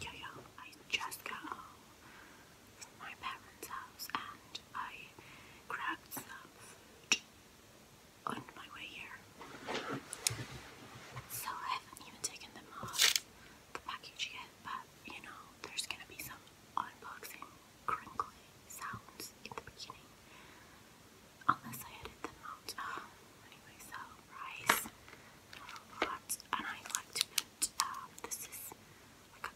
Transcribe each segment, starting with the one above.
Yo yo, I just got home from um, my parents' house and I grabbed some on my way here. So I haven't even taken them off the package yet, but you know, there's gonna be some unboxing crinkly sounds in the beginning. Unless I edit them out. Um, anyway, so rice, a lot, and I like to um, this is like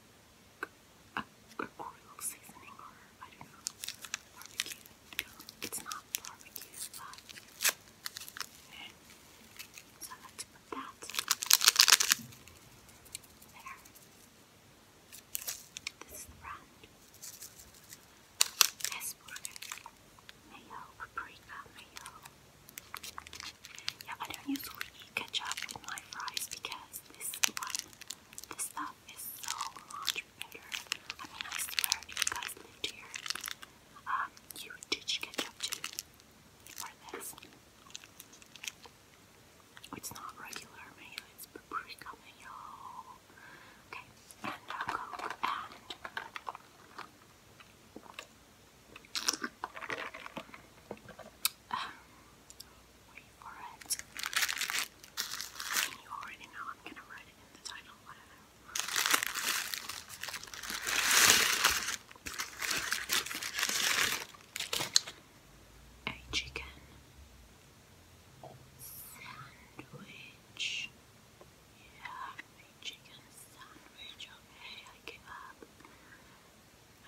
a, a, a seasoning I don't know, barbecue, it's not barbecue, so I that there. This is the brand. Mayo, paprika, mayo. Yeah, I don't usually ketchup with my fries because this stuff is so much better. I mean, I swear, if you guys lived here, um, you would ditch ketchup too for this. It's not regular mayo, it's paprika mayo. Okay, and uh, Coke and um, wait for it. You already know I'm gonna write it in the title, A chicken sandwich. Yeah, chicken sandwich. Okay, I give up.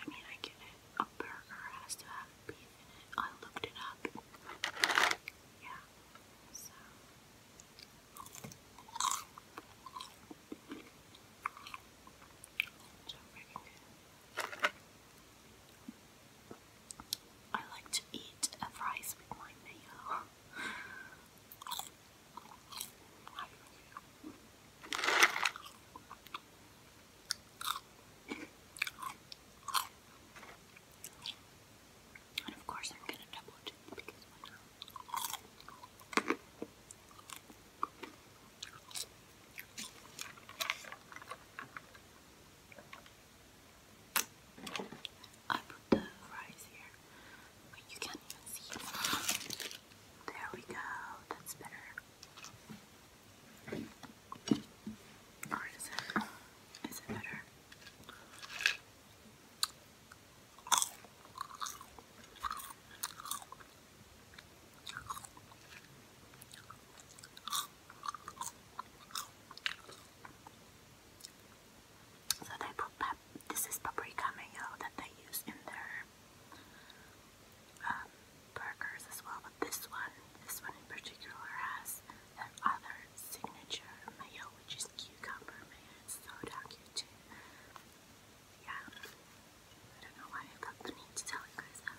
I mean, I get it. A burger has to have beef in it. I looked it up. Yeah, so. So I like to eat a fries with my mayo. And of course, I'm gonna double it because why not? I put the rice here. Wait, you can't see There we go. That's better. Or is it? Is it better? So they put this is paprika mayo that they use in their um, burgers as well, but this one, this one in particular has their signature mayo, which is cucumber mayo. It's so damn cute too. Yeah, I don't know why I felt the need to tell you guys that.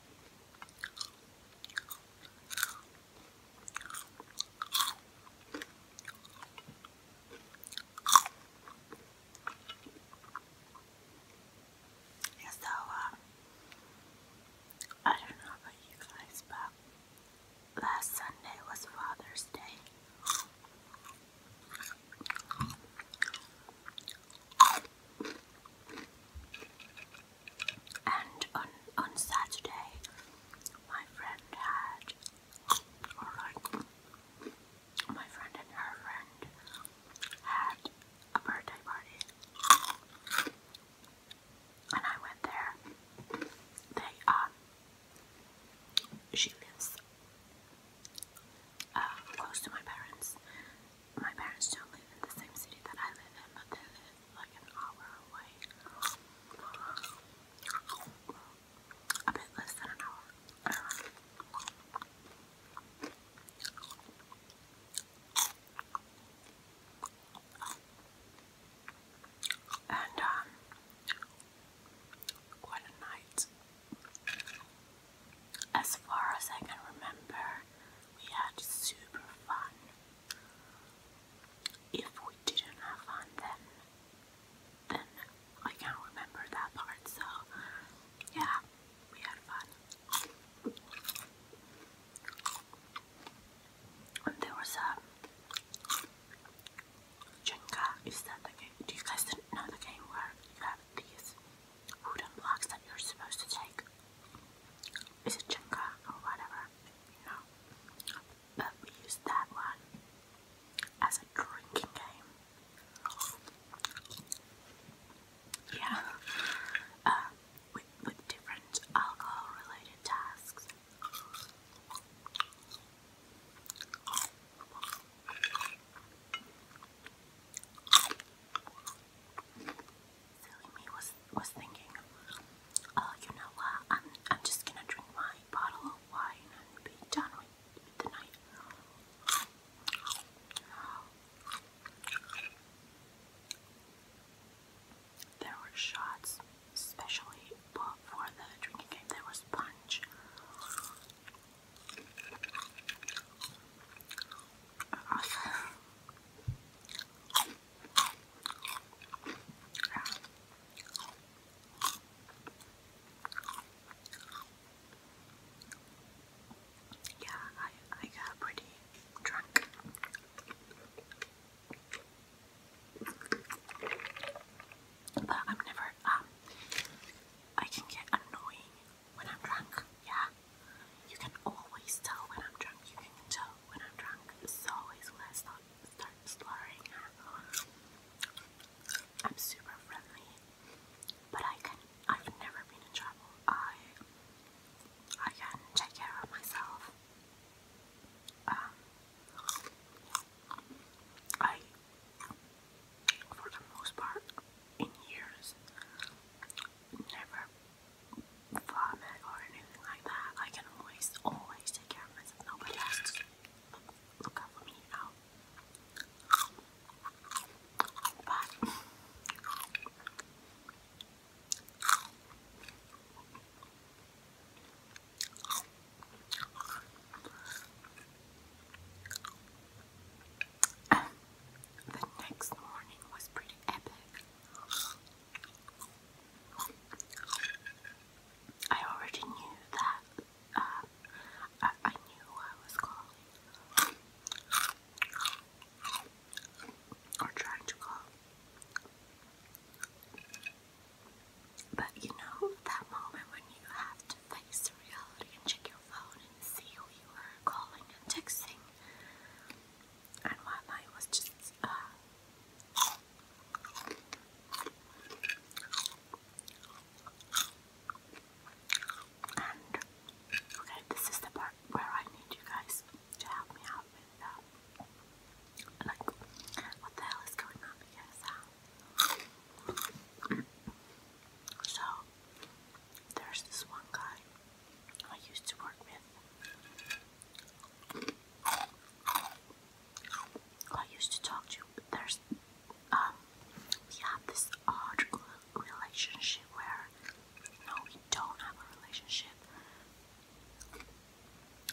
And so, uh, I don't know about you guys, but last Sunday was Father's Day. And on on Saturday, my friend had, my friend and her friend had a birthday party, and I went there. They um, she lives uh, close to my parents, my parents don't live in the same city that I live in, but they live like an hour away. A bit less than an hour. And, um, quite a night. As far as I can remember, we had super fun. If we didn't have fun, then then I can't remember that part. So yeah, we had fun. And there was a Jenga. Is that the game? Do you guys know the game where you have these wooden blocks that you're supposed to take it's a jenga or whatever, you know. But we use that one as a drinking game. Yeah. Uh, with, with different alcohol related tasks. Silly me was was thinking, oh, you know what? I'm I'm just gonna drink my bottle of wine and be done with, with the night. There were shots, especially bought the drinking game. There was punch. Yeah, I, I got pretty drunk. But I'm never, um, I can get annoying when I'm drunk, yeah. You can always tell when I'm drunk. You can tell when I'm drunk. It's always when I start slurring. I'm super friendly, but I can. I've never been in trouble. I I can take care of myself. Um, I, for the most part, in years, never vomit or anything like that. I can always, always take care of myself. Nobody has to look, look out me, you the next morning was pretty epic. I already knew that. Um, I, knew I was calling. Or trying to call. But you know that moment when you have to face reality and check your phone and see who you are calling and texting and my mind was just uh, okay, this is the part where I need you guys to help me out with like what the hell is going on so there's this one guy I used to work with I used to talk to you, but there's um, we have this odd relationship where no we don't have a relationship.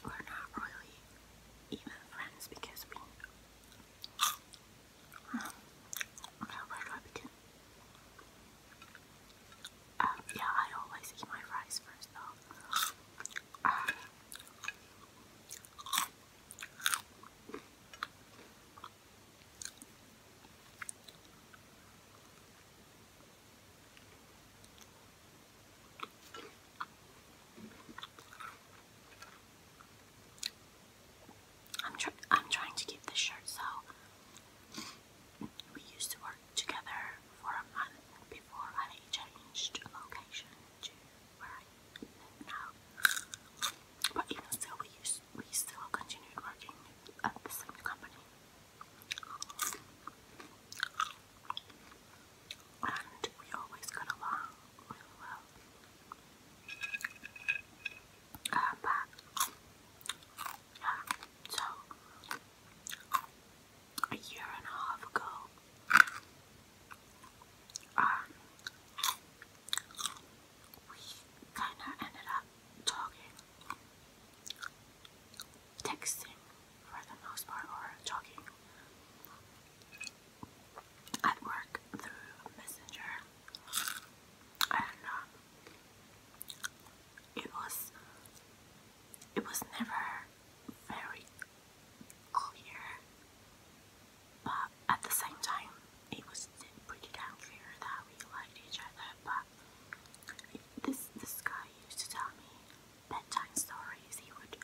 We're not really even friends because we um, okay where do I begin? Um, yeah, I always eat my fries first though. I'm trying to keep this shirt so we used to work together for a month before I changed location to where I live now. But even still, we still continued working at the same company. And we always got along really well. Uh, but yeah, so a year and a half ago. Um, we kind of ended up talking, texting for the most part, or talking at work through Messenger. And um, it was it was never very clear but at the same time it was pretty damn clear that we liked each other but this this guy used to tell me bedtime stories he would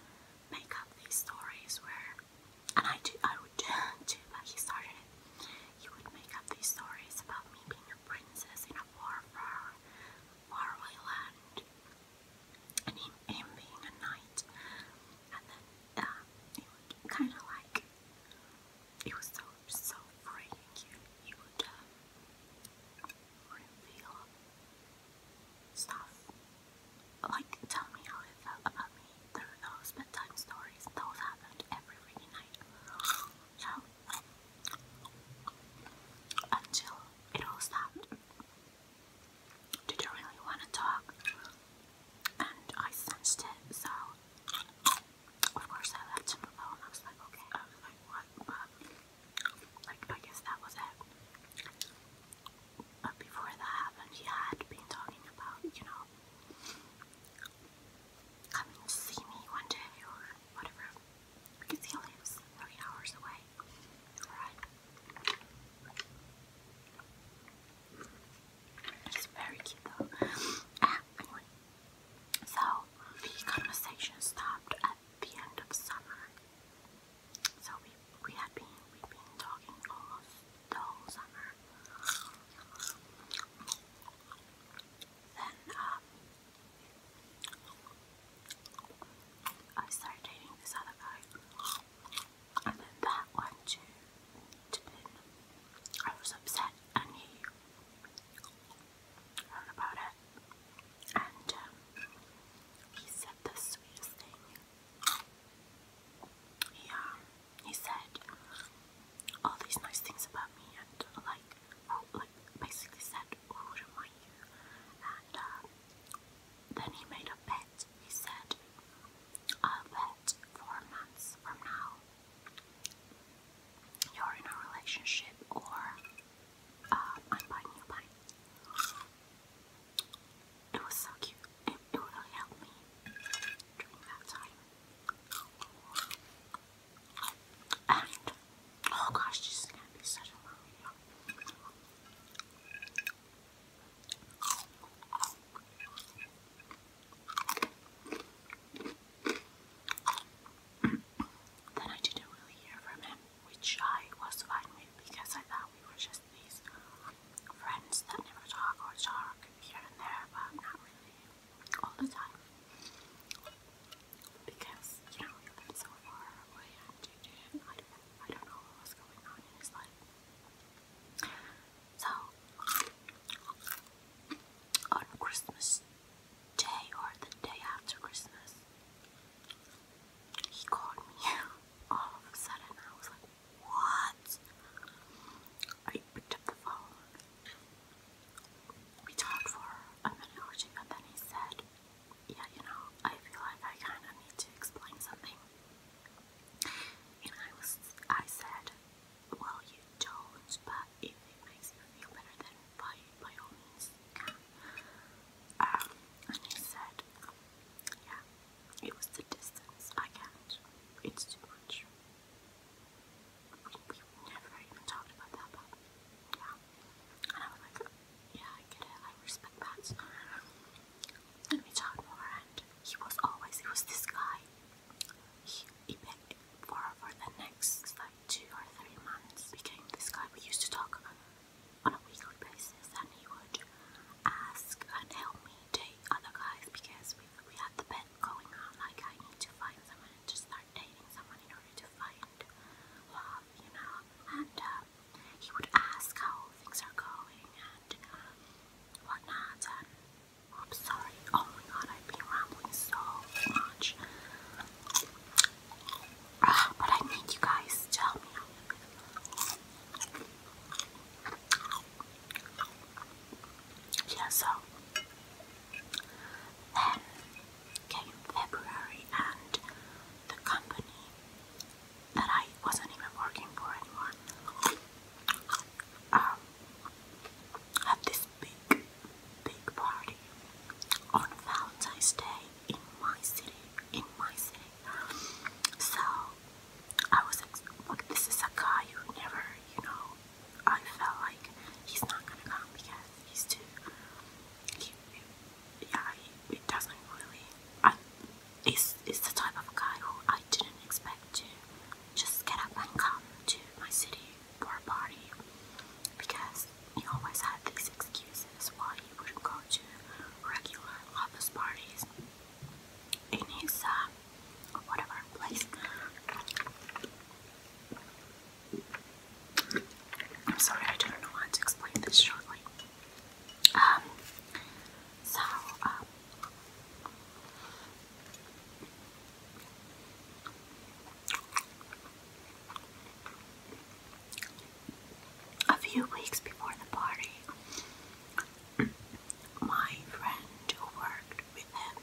make up these stories where and I do I would do but he started it he would make up these stories about me being a princess in a war far faraway land, and him, being a knight, and then uh, um, it kind of like it was so so free and cute. would um, reveal stuff, like tell me how it felt about me through those bedtime stories. Those happened every night. So until it all stopped, did you really want to talk? And I sensed it, so of course I left him alone. I was like, okay, I was like, what? like, I guess that was it. But before that happened, he had been talking about, you know, coming to see me one day or whatever because he very cute though. Ah, anyway. So, the conversation stopped at the end of summer. So, we, we had been, we've been talking almost the whole summer. Then, um, I started dating this other guy, and then that went to, I was upset, and he heard about it, and um, he said the sweetest thing. He, um, he said all these nice things about me, and like who like basically said, "Who am I?" and uh, then he made a bet. He said, i bet four months from now you're in a relationship, or uh, I'm buying you pie." It was so cute. it really helped me during that time. And oh gosh, this is such a long then I didn't really hear which I was fine with because I thought we were just these friends that never talk or talk here and there, but not really all the time because, you know, he lived so far away and I don't, I don't know what was going on in his So, on Christmas Day or the day after Christmas, he called me all of a sudden. I was like, What? I picked up the phone. We talked for a minute or two, and then he said, yeah, you know, I feel like I kind of need to explain something. And I was, I said, well, you don't, but if it makes you feel better, then by, by all means, you um, and he said, yeah, it was the distance. I can't. It's too much. We, never even talked about that, yeah. I was like, yeah, I get it. I respect that. And we talked more, and he was always, he was this guy. He, he begged for, for the next like two or three months. Became this guy we used to talk on a weekly basis, and he would ask and help me date other guys because we, we had the bet going on like, I need to find someone to start dating someone in order to find love you know, and uh, he would ask how things are going and whatnot. I'm sorry, oh my god, I've been rambling so much. Uh, but I need you guys to help me out. so came February, and the company that I wasn't even working for anymore um, had this big, big party on Valentine's Day in my city. In my city, so I was like, "This is a guy who never, you know." I felt like he's not gonna come because he's too. He, yeah, it doesn't really. I, it's, it's the type of guy who I didn't expect to just get up and come to my city for a party because he always had these excuses why he wouldn't go to regular office parties in his uh, whatever place. I'm sorry, I don't know how to explain this shortly. Um, so, um, a few weeks before the party, my friend who worked with him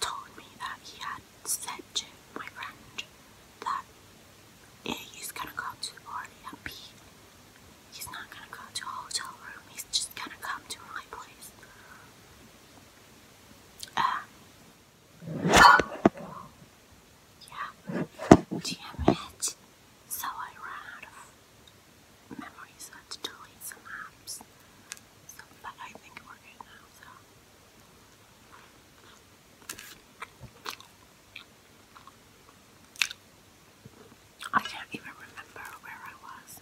told me that he had said to my friend that yeah, he's gonna go to the party He's not gonna go to hotel room, he's just gonna come to my place. Um, yeah, damn it. So I ran out of memories, I had to delete some apps. but I think we're now, so. I don't even remember where I was.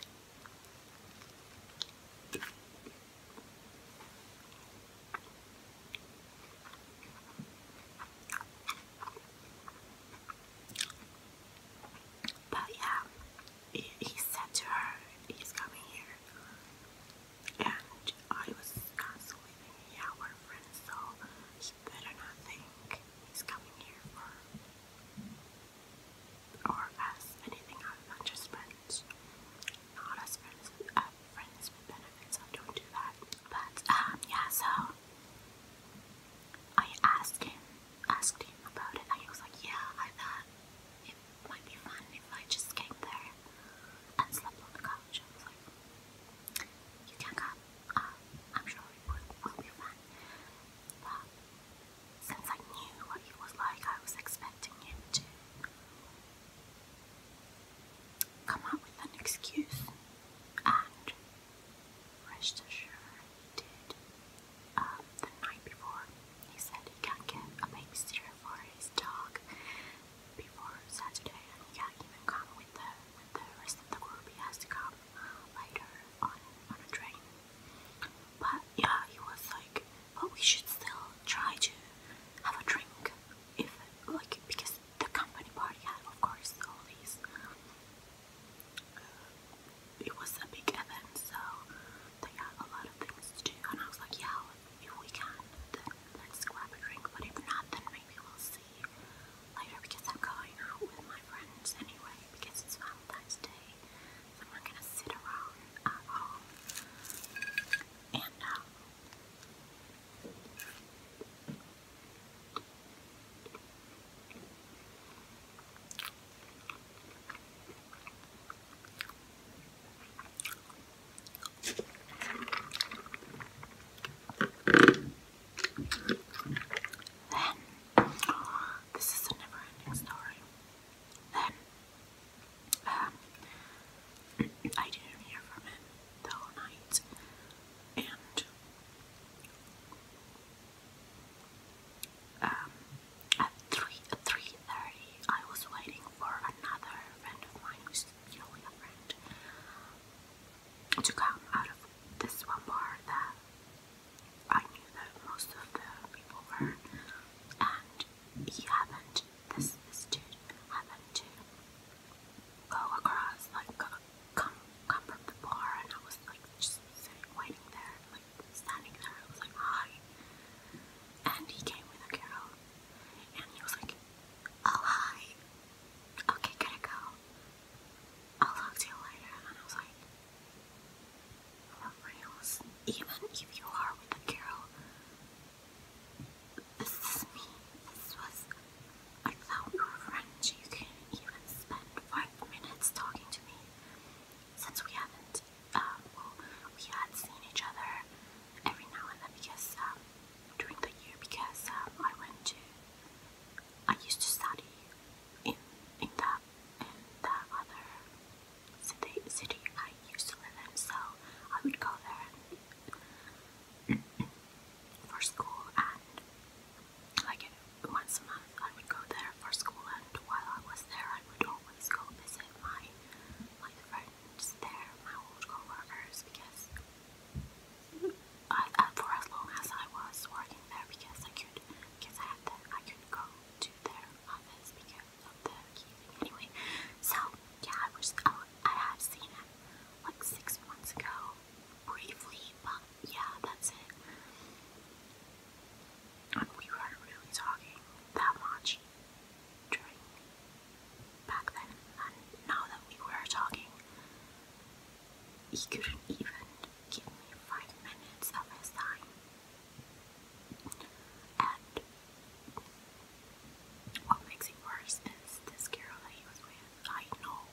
But yeah, he said to her, he's coming here. And I was constantly thinking, yeah, we're friends, he better not think he's coming here for or as anything other than just friends. Not as friends with uh, friends with benefits, so don't do that. But um yeah, so I asked him asked him about it and he was like, Yeah, I thought might be fun if I just came there and slept on the couch. I was like, you can come, um, I'm sure it will, will be fun. But since I knew what he was like, I was expecting him to come up with an excuse, and rest assured he did. Um, the night before, he said he can't get a babysitter for his dog before Saturday, and yeah, even come with the with the rest of the group. He has to come uh, later on on a train. But yeah, he was like, but we should still try to have a drink if like because the company party had, of course, all these. Uh, it was a big event, so they had a lot of things to do, and I was like, yeah, if we can, then let's grab a drink, but if not, then maybe we'll see later because I'm going out with my friends anyway because it's Valentine's Day, so I'm gonna sit around at home. And, um, then, this is a never story. Then, um, I didn't hear from him the whole night, and um, at 3 3:30, I was waiting for another friend of mine who's usually a friend, um, to come out of this one bar that I knew that most of the people were, and he happened, this, this dude happened to go across, like, come, come from the bar, and I was like, just sitting, waiting there, like, standing there, I was like, hi, and he came with a girl, and he was like, Oh, hi. Okay, gotta go. I'll talk to you later. And I was like, for Even if you are a girl, this is me. This was, without your friend, you couldn't even spend five minutes talking to me. Since we haven't, uh, we had seen each other every now and then because, um, during the year because um, I went to I used to study in in that in that other city city I used to live in, so I would go there for school and like once a month I would go there for school and while I was there I would always go visit my like friends, they're my old co-workers because I, uh, for as long as I was working there, because I could, because I had the, I could go to their office because of the key thing. Anyway, so yeah, I was, I, I had seen it like six months ago, briefly, but yeah, that's it. And we weren't really talking that much during back then and now that we were talking he couldn't even give me five minutes of his time and what makes it worse is this girl that he was with I know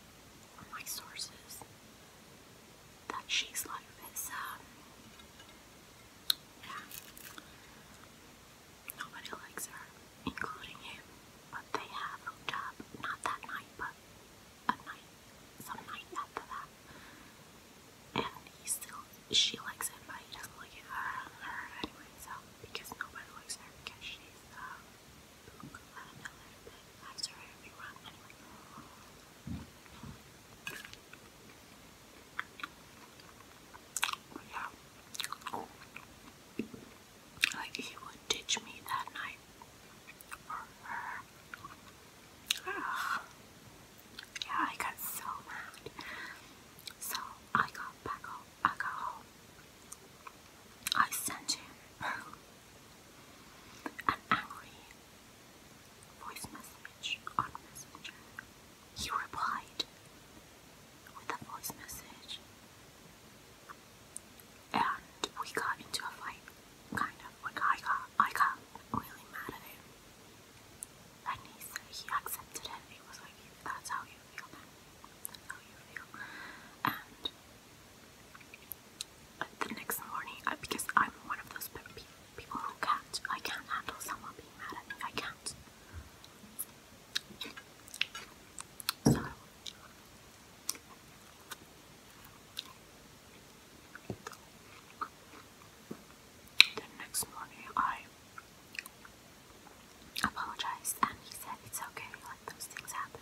from my sources that she's like this um, Nobody likes her, including him. But they have hooked up, not that night, but a night, some night after that. And he still, she likes him, but he doesn't like it, her anyway, so, because nobody likes her, because she's, um, uh, I don't know, a everyone, yeah. Like he would ditch me that night. Or her. Yeah, I got so mad. So I got back home. I sent him an angry voice message on Messenger. He replied, with a voice message. And we got into a fight, kind of. I got, I got really mad at him. And he said he accepted it. He was like, "That's how you feel, That's how you feel." And the next morning, because I'm one of those people who can't, I can't handle someone being mad at me. I can't. So. The next morning I apologized and he said it's okay, like those things happen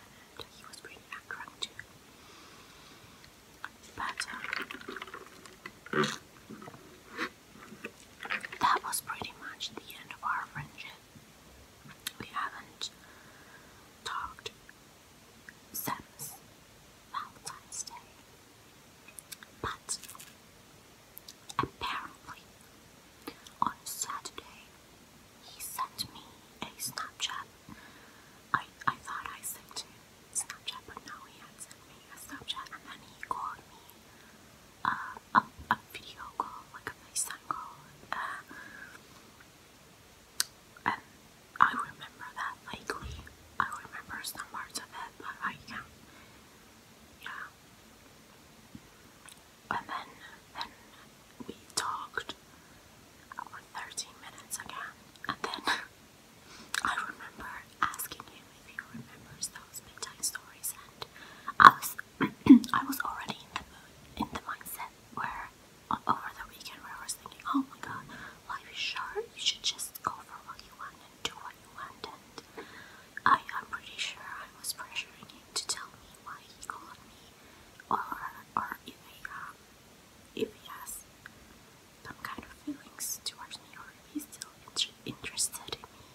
he was pretty accurate too. But um, that was pretty much the end of our friendship. We haven't talked since Valentine's Day. But apparently, on Saturday, he sent me a Snapchat. I, I thought I sent him Snapchat, but no, he had sent me a Snapchat, and then he called me a, video call, like a FaceTime call. Uh, and I remember that vaguely. I remember some parts of it, but I can Yeah. And then, then we talked for 13 minutes again. And then I remember asking him if he remembers those bedtime stories, and I was I was already in the mood, in the mindset where over the weekend where I was thinking, oh my god, life is short. You should just go for what you want and do what you want. And I, I'm pretty sure I was pressuring him to tell me why he called me, or or if he um, if he has some kind of feelings towards me, or if he's still interested in me,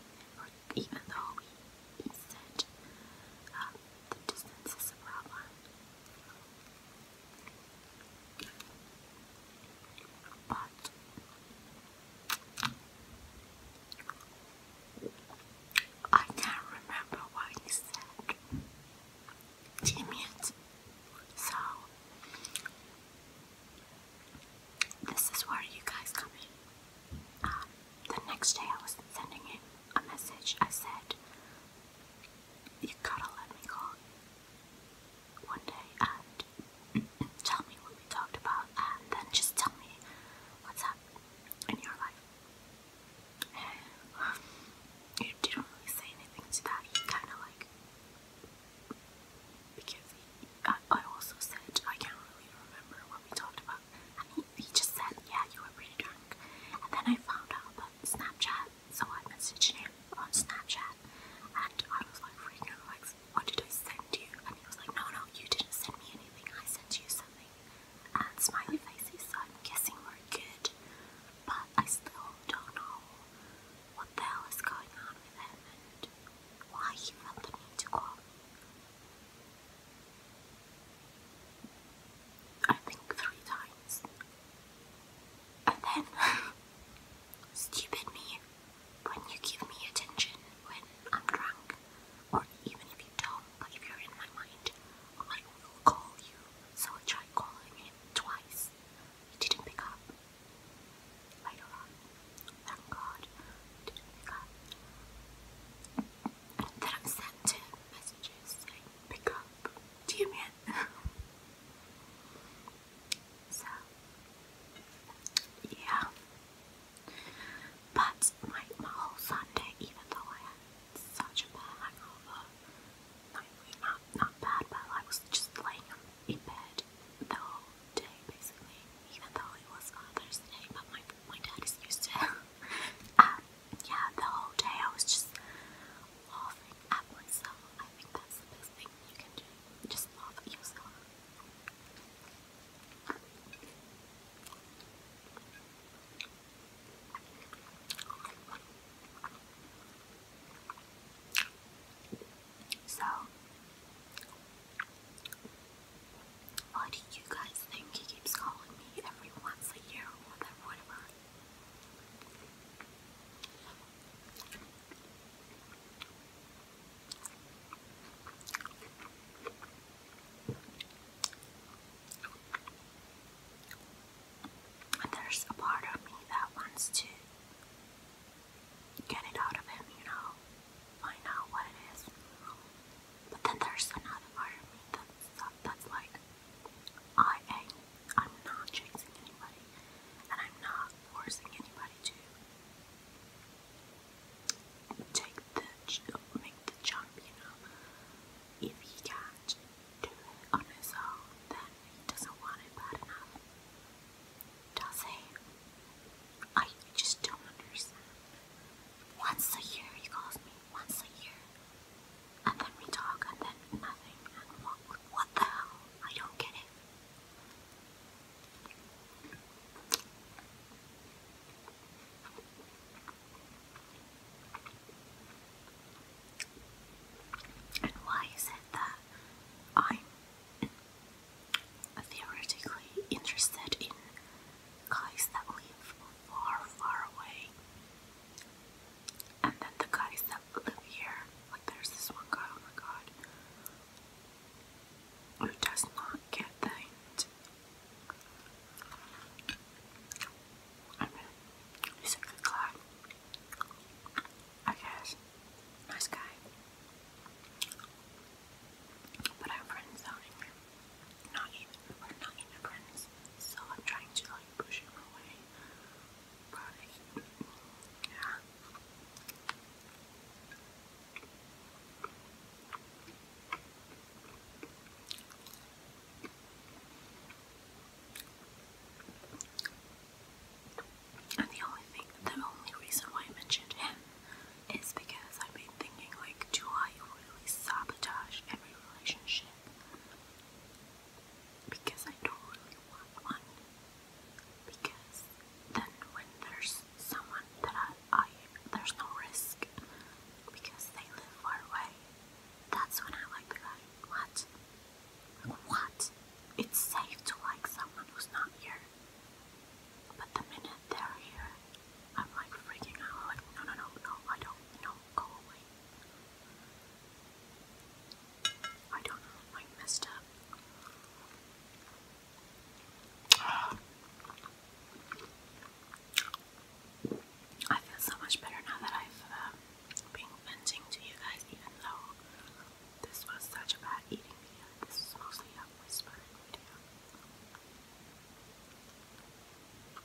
even though he said uh, the distance is a problem. But I can't remember what he said. Damn So, this is where you guys come in. Um, the next day, I was sending him a message. I said, You gotta let me call one day and tell me what we talked about, and then just tell me what's up in your life. And he didn't really say anything to that. He kind of like, because uh, I also said, I can't really remember what we talked about and he, just said, yeah, you were pretty drunk. And then I found out about Snapchat, so I messaged him on Snapchat, and I was like freaking out, like, what did I send you? And he was like, no, no, you didn't send me anything, I sent you something. And smiley faces, so I'm good, but I still don't know what the hell is going on with him and why he felt the need to call I think three times. And then, stupid me, when you give me attention when I'm drunk, or even if you don't, but if you're in my mind, I will call you. So I tried calling him twice. He didn't pick up. Later on, thank God, he didn't pick up that I'm sent messages like pick up. Do you mean? so yeah. But my my whole Sunday, even though I had such a bad hangover, not not not bad, but I was just laying in bed the whole day basically. Even though it was Father's Day, but my my dad is used to Uh, yeah, the whole day I was just laughing at myself. I think that's the best thing you can do. Just laugh at yourself. So why do you guys think he keeps calling me every once a year or whatever? there's a part of me that wants to get it out of him, you know, find out what it is. But then there's another part of me that's, like, I am, I'm not chasing anybody, and I'm not forcing anybody to take the jump, you know. If he can't do it on his own, then he doesn't want it bad enough. Does he? I just don't understand. Once a year he calls me once a year. And then we talk, and then nothing, and what, what the hell? I don't get it. And why is it that I'm theoretically interested in guys that live far, far away, and then the guys that live here. there's this one guy, oh my god, who does not get things. he's a good guy, I guess. Nice guy. But I'm friend zoning not even, we're not even friends, so I'm trying to like push him away, but yeah. And the only thing, the only reason why I mentioned him is because I've been thinking, like, do I really sabotage every because I don't want one. Because then when there's someone that I there's no risk because they live far away. That's when I like the guy. What? What? It's safe to like someone who's not here. But the minute they're here, I'm like freaking out. I'm like, no, no, no, no, I don't, no, go away. I don't I messed up. I feel so much better now that I've um, been venting to you guys, even though this was such a bad eating video. This is mostly a whispering video.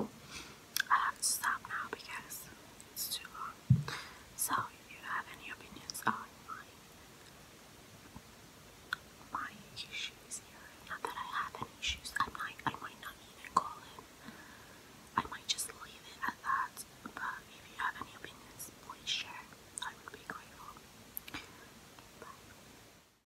I have to stop now because it's too long. So, if you have any opinions on my my issues here, not that I have any issues, I might I might not even call it. I might just leave it at that. But if you have any opinions, please share. I would be grateful. Bye.